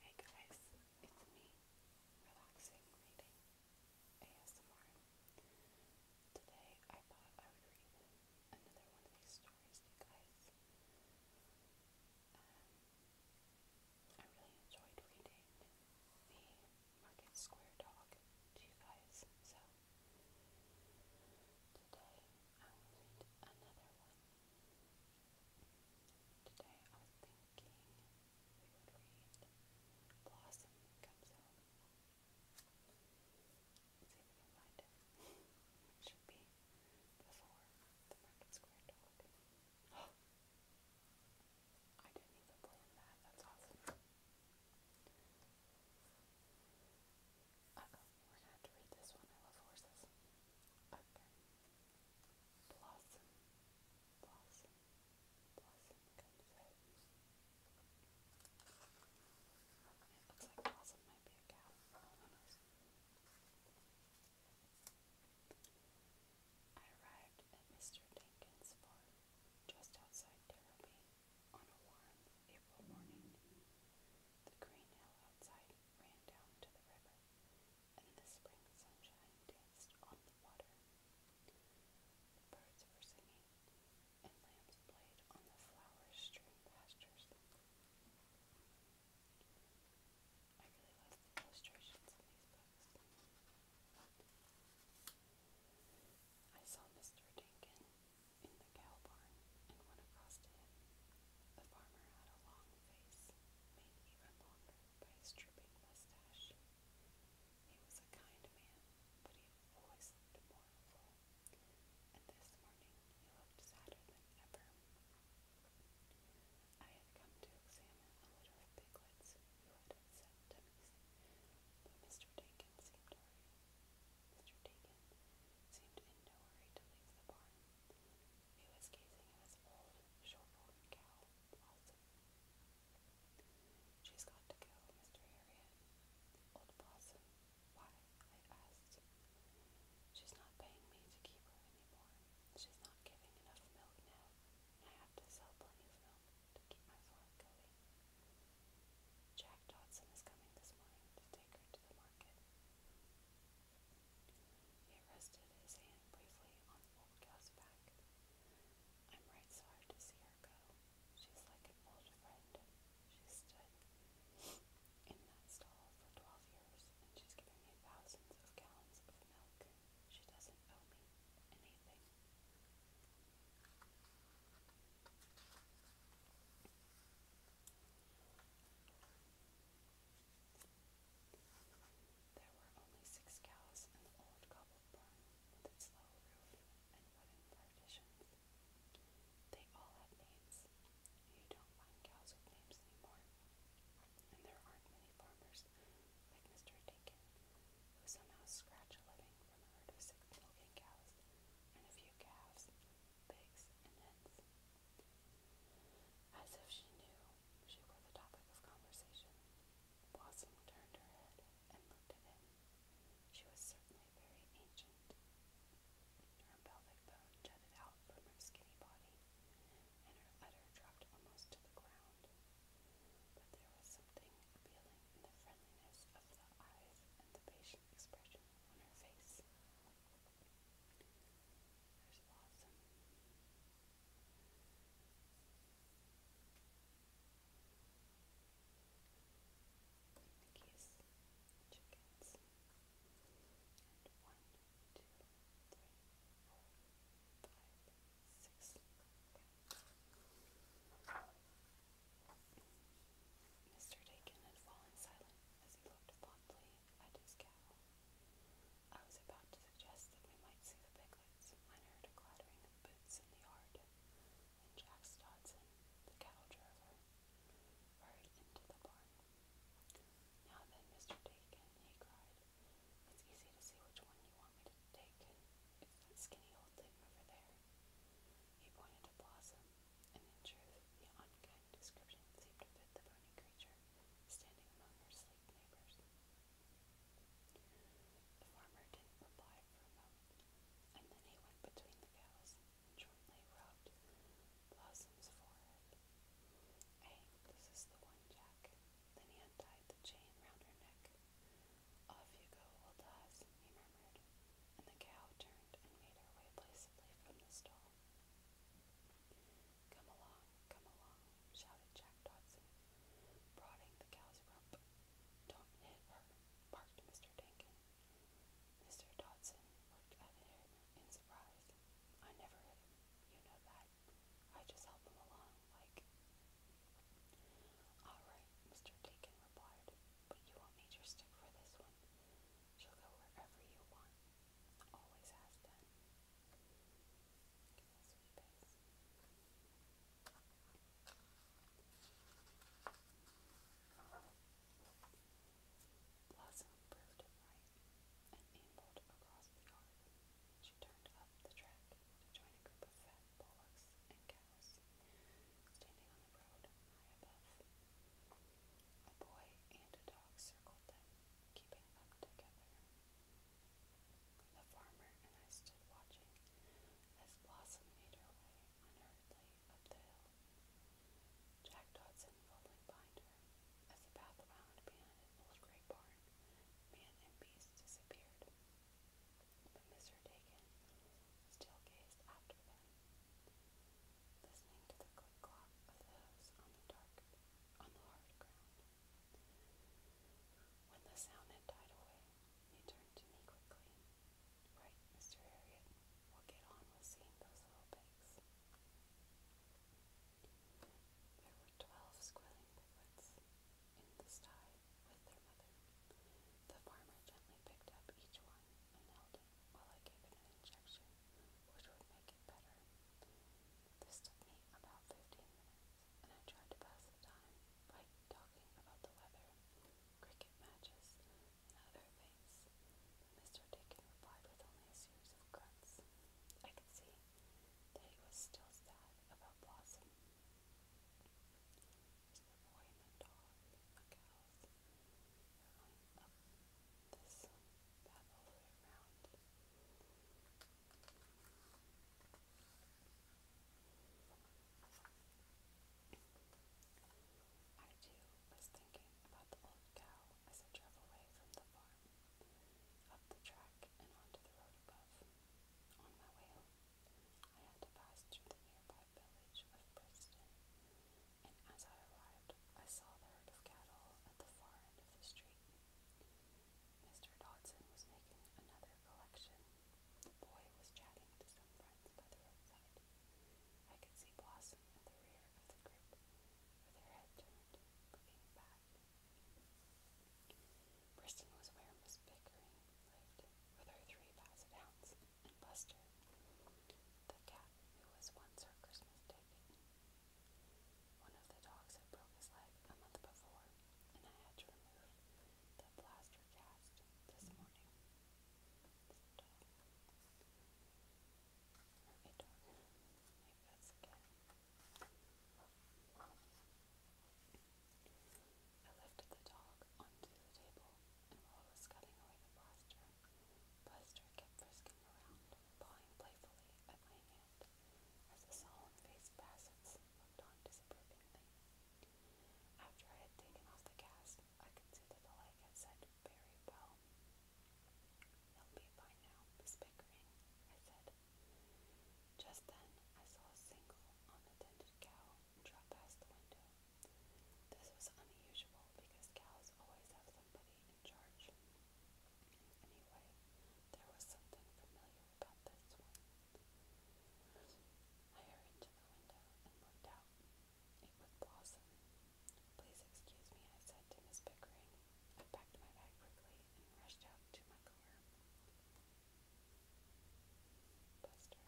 Hey guys, it's me, Relaxing Reading ASMR. Today I thought I would read another one of these stories you guys. Um, I really enjoyed reading the Market Square Dog to you guys, so today I will read another one. Today I was thinking we would read Blossom Comes Home. let see if we can find it. Should be before the Market Square dog. I didn't even plan that. That's awesome. we're gonna have to read this one. I love horses. Okay blossom, blossom, blossom comes out. It looks like blossom might be a cow. I arrived at Mr. Dinkins' farm just outside Derby on a warm April morning. The green hill outside ran down to the river, and the spring sunshine danced on the water. The birds were singing, and lambs played on the flower-strewn pastures. I really love the illustrations in these books. I saw Mr. Dinkin in the cow barn and went across to him. The farmer had a long face, made even longer by his drooping mustache. He was a kind man, but he always looked mournful, and this morning he looked sadder than ever. I had come to examine a litter of piglets who had upset dummies, but Mr. Dakin seemed hurried. Mr. Dakin seemed in no hurry to leave the barn. She's got to go, Mr. Harriet. Old Blossom? Why? I asked. She's not paying me to keep her anymore. She's not giving enough milk now, and I have to sell plenty of milk to keep my farm going. Jack Dodson is coming this morning to take her to the market. He rested his hand briefly on the old gal's back. I'm right sorry to see her go. She's like an old friend. She stood in that stall for twelve years, and she's given me thousands of gallons of milk. She doesn't owe me anything. There were only six cows in the old cobbled barn with its low roof and wooden partitions. They all had names. You don't find cows with names anymore. And there aren't many farmers like Mr. Dinkin who somehow scratch a living from a six milking cows and a few calves, pigs, and hens. As if she knew she were the topic of conversation, Blossom turned her head and looked at him. She was certainly very ancient. Her pelvic bone jutted out from her skinny body, and her udder dropped almost to the ground. But there was something appealing in the friendliness of the eyes and the patient expression on her face. There's Blossom. Mr. Dakin had fallen silent as he looked thoughtfully at his cowl. I was about to suggest that we might see the piglets when I heard a clattering of boots in the yard, and Dodson, the cattle drover, hurried into the barn. Now then, Mr. Dakin, he cried, it's easy to see which one you want me to take. It's that skinny old thing over there. He pointed to Blossom, and in truth, the unkind description seemed to fit the bony creature standing among her sleek neighbors. The farmer didn't reply and then he went between the cows and jointly rubbed Blossom's forehead. Hey, this is the one, Jack. Then he untied the chain round her neck. Off you go, old Oz, he murmured, and the cow turned and made her way placidly from the stall. Come along, come along, shouted Jack Dodson, prodding the cow's rump. Don't hit her, barked Mr. Dinkin. Mr. Dodson looked at him in surprise. I never hit him, you know that. I just help him along, like. All right, Mr. Dinkin replied, but you won't need your stick for this one. She'll go wherever you want. Always has Blossom proved right and ambled across the yard. She turned up the track to a group of fat bullocks and cows standing on the road high above. A boy and a dog circled them, keeping them together. The farmer and I stood watching as Blossom made her way unhurriedly up the hill, Jack Dodson following behind her. As the path wound behind an old gray barn, man and beast disappeared. But Mr. Dakin still gazed after them listening to the click clop of the on the dark on the hard ground. When the sound had died away, he turned to me quickly. Right, Mr. Harriet, we'll get on with seeing those little pigs. There were twelve squealing piglets in the sty with their mother. The farmer gently picked up each one and held it while I gave it an injection. This took me about 15 minutes, and I tried to pass the time by talking about the weather, cricket matches, and other things. Mr. Dickon replied with only a series of grunts. I could see that he was still sad about Blossom. Is the boy and the dog, the cows, up this I too was thinking about the old cow as I drove away from the farm, up the track and onto the road above. On my way home, I had to pass through the nearby village of Preston, and as I arrived, I saw the of cattle at the far end of the street. Mr. Dodson was making another collection. boy was chatting to some friends by the roadside. I could see Blossom at the rear of the group, with her head turned, looking back. Briston was where Miss Pickering with her three basset hounds and Buster, the cat who was once her Christmas ticket. One of the dogs had broke his leg a month before, and I had to remove the plaster cast this morning. This dog. Or a dog. I lifted the dog onto the table, and was cutting away the plaster, Buster kept frisking around pawing playfully at my hand as the solemn-faced Bassets looked on disapprovingly. After I had taken off the cast, I could the leg had set very well. He'll be fine now, Miss I said. Just then, I saw a single, unattended cow drop past the window. This was unusual because cows always have somebody Anyway, there was something familiar about this one. I hurried to the window and looked out. It was Blossom. Please excuse me, I said to Miss Pickering. I packed my bag quickly and rushed out to my car. Buster.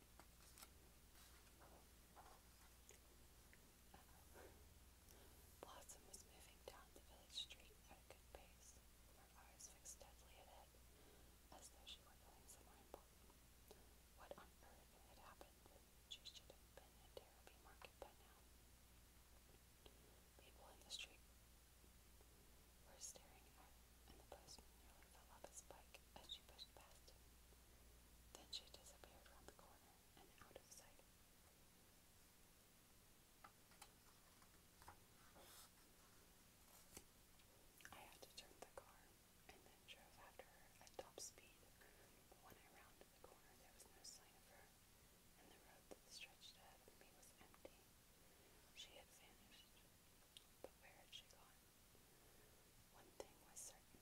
Blossom was moving down the village street at a good pace, her eyes fixed steadily ahead, as though she were going somewhere important. What on earth had happened? She should have been at Derby Market by now. People in the street were staring at her, and the postman nearly fell off his bike as she pushed past then she disappeared round the corner and out of sight. I had to turn the car and then drove after her at top speed. when I rounded the corner, there was no sign of her, and the road that stretched ahead of me was empty. She had vanished, but where had she gone? One thing was certain.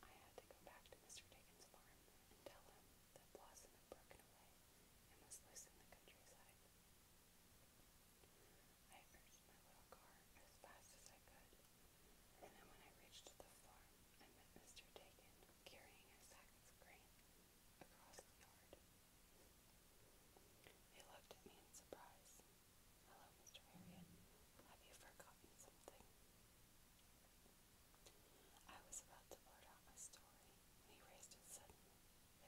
I had to go back to Mr. Dickens' farm and tell him that Blossom had broken away I urged my little car as fast as I could, and then when I reached the farm, I met Mr. Dakin carrying a sack of grain across the yard. He looked at me in surprise, Hello, Mr. Marion. Have you forgotten something? I was about to blurt out my story when he raised his head suddenly and listened.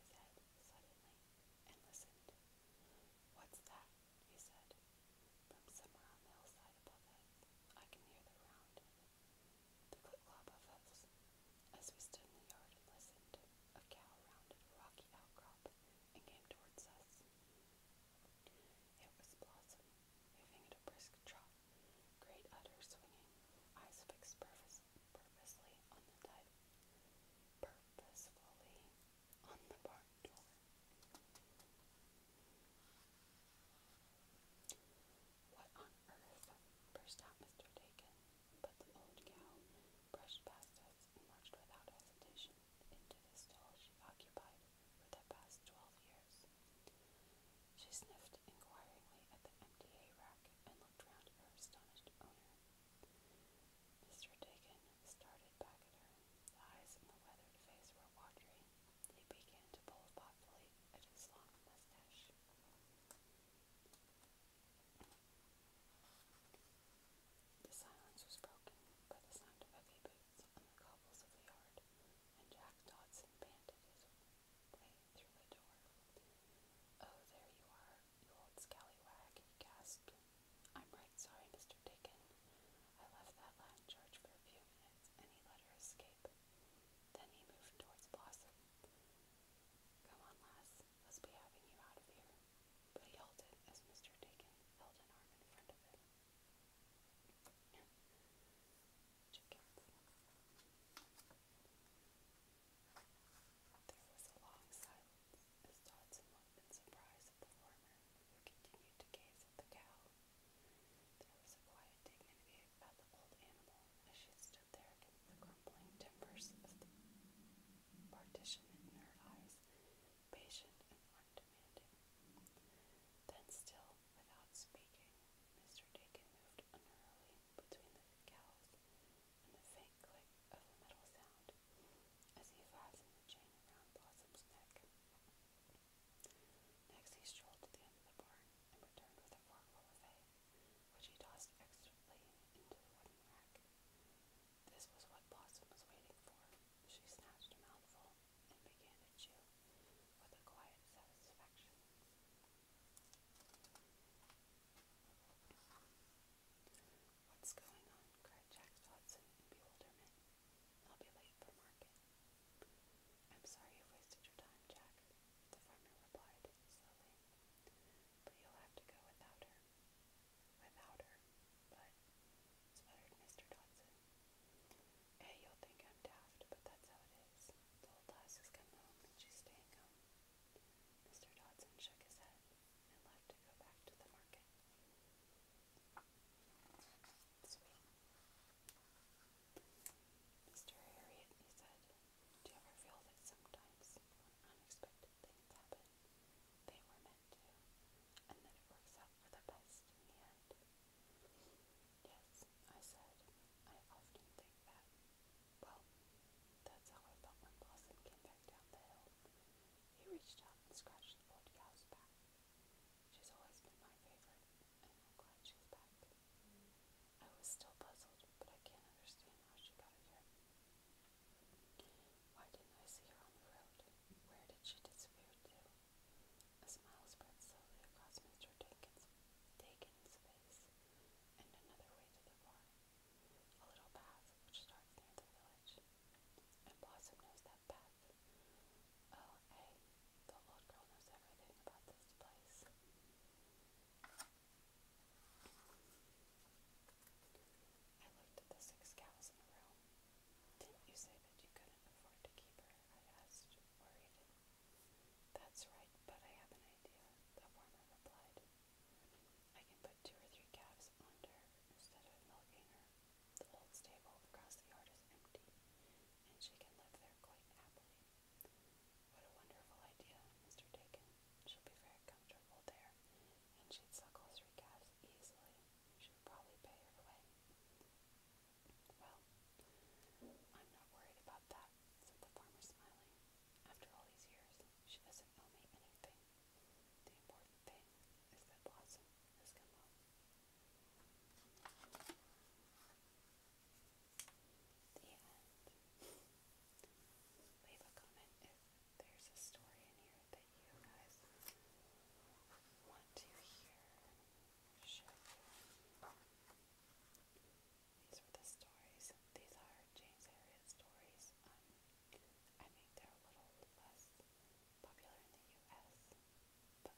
What's that? he said. From somewhere on the hillside above us, I can hear the round, the clip-clop of hoofs. As we stood in the yard and listened, a cow rounded a rocky outcrop and came towards us. It was Blossom, moving at a brisk trot, great udder swinging, eyes fixed purpose on the dive, purposefully on the barn door. What on earth? burst out Mr. Dakin, but the old cow brushed past us and marched without hesitation into the stall she occupied for the past twelve years. She sniffed inquiringly at the MDA rack and looked round at her astonished owner. Mr. Dakin started back at her. The eyes in the weathered face were watery. He began to pull thoughtfully at his long mustache. The silence was broken by the sound of heavy boots on the cobbles of the yard, and Jack Dodson panted his way through the door. Oh, there you are, you old scallywag, he gasped. I'm right sorry, Mr. Dakin. I left that lad in charge for a few minutes, and he let her escape. Then he moved towards Blossom. Come on, lass, let's be having you out of here. But he halted as Mr. Dakin held an arm in front of him chickens. There was a long silence as Dodson looked surprise at the farmer, who continued to gaze at the cow. There was a quiet dignity about the old animal as she stood there against the crumbling timbers of the partition in her eyes, patient and then, still without speaking, Mr. Dakin moved unreally between the cows and the faint click of the metal sound as he fastened the chain around Blossom's neck. Next, he strolled to the end of the barn and returned with a forkful of hay, which he tossed expertly into the wooden rack. This was what Blossom was waiting for. She snatched a mouthful and What's going on? cried Jack Dodson in I'll be late for market. I'm sorry you wasted your time, Jack, the farmer replied slowly. But you'll have to go without her. Without her, but, sputtered Mr. Dodson, Hey, you'll think I'm daft, but that's how it is. old lass has come home and she's staying home. Mr. Dodson shook his head and left to go back to the market. Sweet. Mr. Harriet, he said, do you ever feel that sometimes when unexpected things happen, they were meant? Yes, I said, I often think that. Well, that's how I felt when Blossom came back down the hill. He reached out and scratched the old cow's back. She's always been my favorite, and I'm glad she's back. I was still puzzled, but I can't understand how she got here. Why didn't I see her on the road? Where did she disappear to? A smile spread slowly across Mr. Dakin's, Dakin's face and another way to the bar, a little path which starts near the village. And Blossom knows that path. Oh, hey, the old girl knows everything about this place. I looked at the six cows in a row. Didn't you say that you couldn't afford to keep her? I asked, worried. That's right, but I have an idea, the farmer replied. I can put two or three calves onto instead of milking her. The old stable across the yard is empty, and she can live there quite happily. What a wonderful idea, Mr. Dakin. She'll be very comfortable there, and she'd suckle three calves easily should probably pay her way. Well, I'm not worried about that, said the farmer, smiling. After all these years, she doesn't owe me anything. The important thing is that Blossom has come home. The end. Leave a comment if there's a story in here that you guys want to hear. These were the stories. These are James Herriot stories. Um, I think they're a little less popular in the U.S., but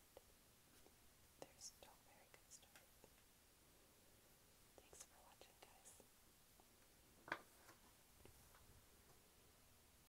they're still very good stories. Thanks for watching, guys.